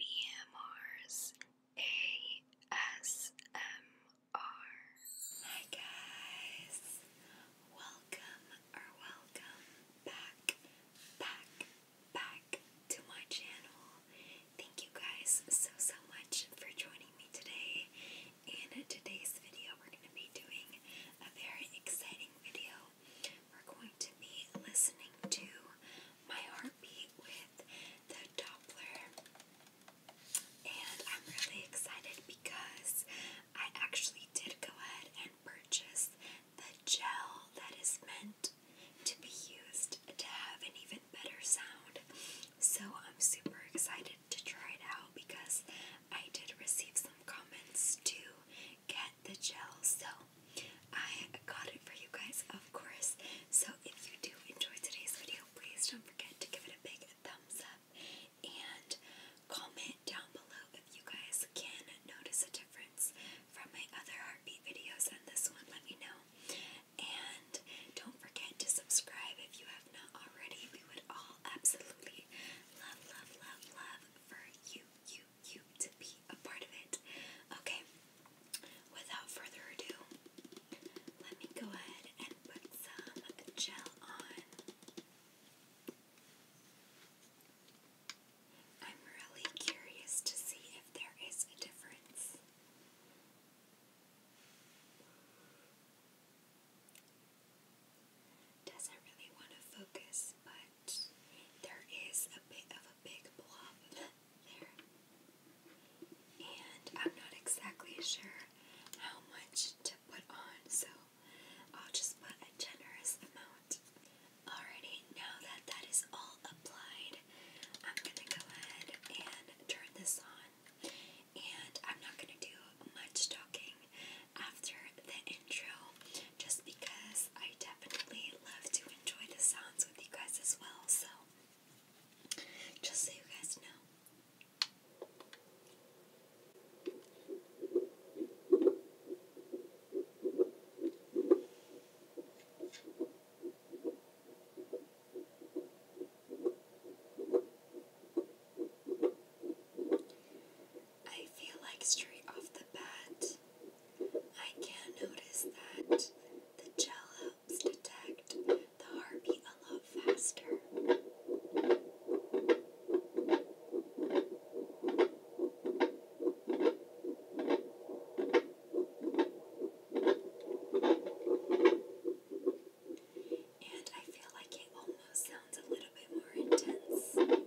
BMR's Hi guys, welcome or welcome back, back, back to my channel. Thank you guys so so much for joining me today. In today's video, we're going to be doing a very exciting video we're going to be listening to my heartbeat with the Doppler. And I'm really excited because I actually did go ahead and purchase the gel that is meant to be used to have an even better sound. So I'm super excited to try it out because I did receive some comments to get the gel. So I got it for you guys, of course. So if you do enjoy today's video, please don't forget to give it a big thumbs up and comment down below if you guys can notice a difference from my other heartbeat videos and this one. Let me know. And don't forget to subscribe if you have not already. We would all absolutely love, love, love, love for you, you, you to be a part of it. Okay, without further ado, let me go ahead and put some gel on. I'm really curious to see if there is a difference. Doesn't really want to focus, but there is a bit of a big blob there. And I'm not exactly sure how much to put on, so I'll just put a generous amount. Already now that that is all applied, I'm gonna go ahead and turn this on. And I'm not gonna do much talking after the intro just because I definitely love to enjoy the sounds with you guys as well. So, just so you guys know. I feel like straight off the bat, I can notice that the gel helps detect the heartbeat a lot faster. And I feel like it almost sounds a little bit more intense.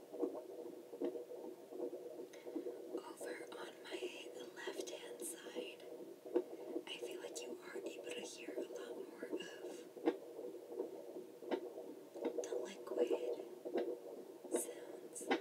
Over on my left hand side, I feel like you are able to hear a lot more of the liquid sounds.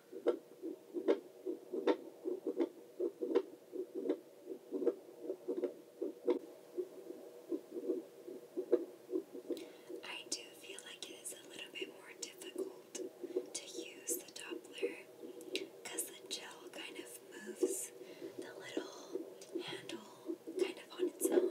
I do feel like it is a little bit more difficult to use the Doppler because the gel kind of moves the little handle kind of on its own.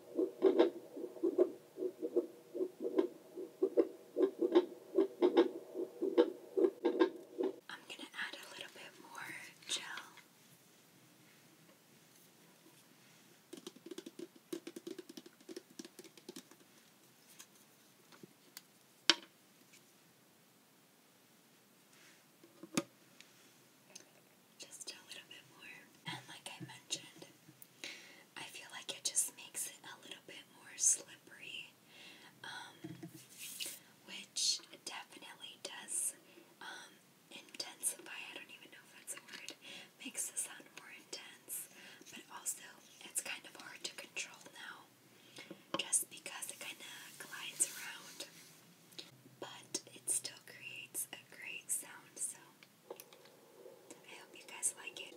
I'm going to add a little bit more gel just a little bit more. And like I mentioned, I feel like it just makes it a little bit more slippery, um, which definitely does um, intensify. I don't even know if that's a word. Makes the sound more intense, but also it's kind of hard to control now, just because it kind of glides around but it still creates a great sound, so I hope you guys like it.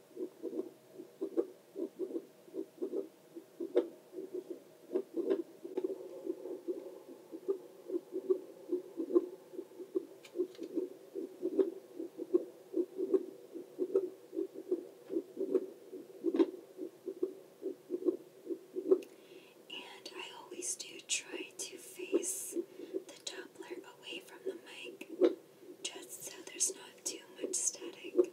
And I always do try to face the Doppler away from the mic just so there's not too much static.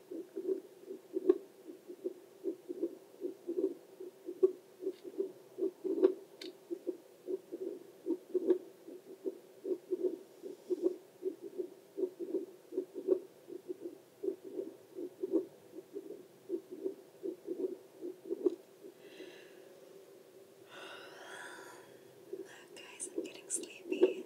Look, guys, I'm getting sleepy.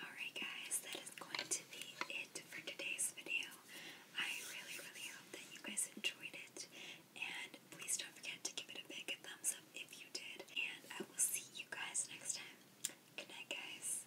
Alright guys, that is going to be it for today's video. I really, really hope that you guys enjoyed it. And please don't forget to give it a big thumbs up if you did. And I will see you guys next time. Good night, guys.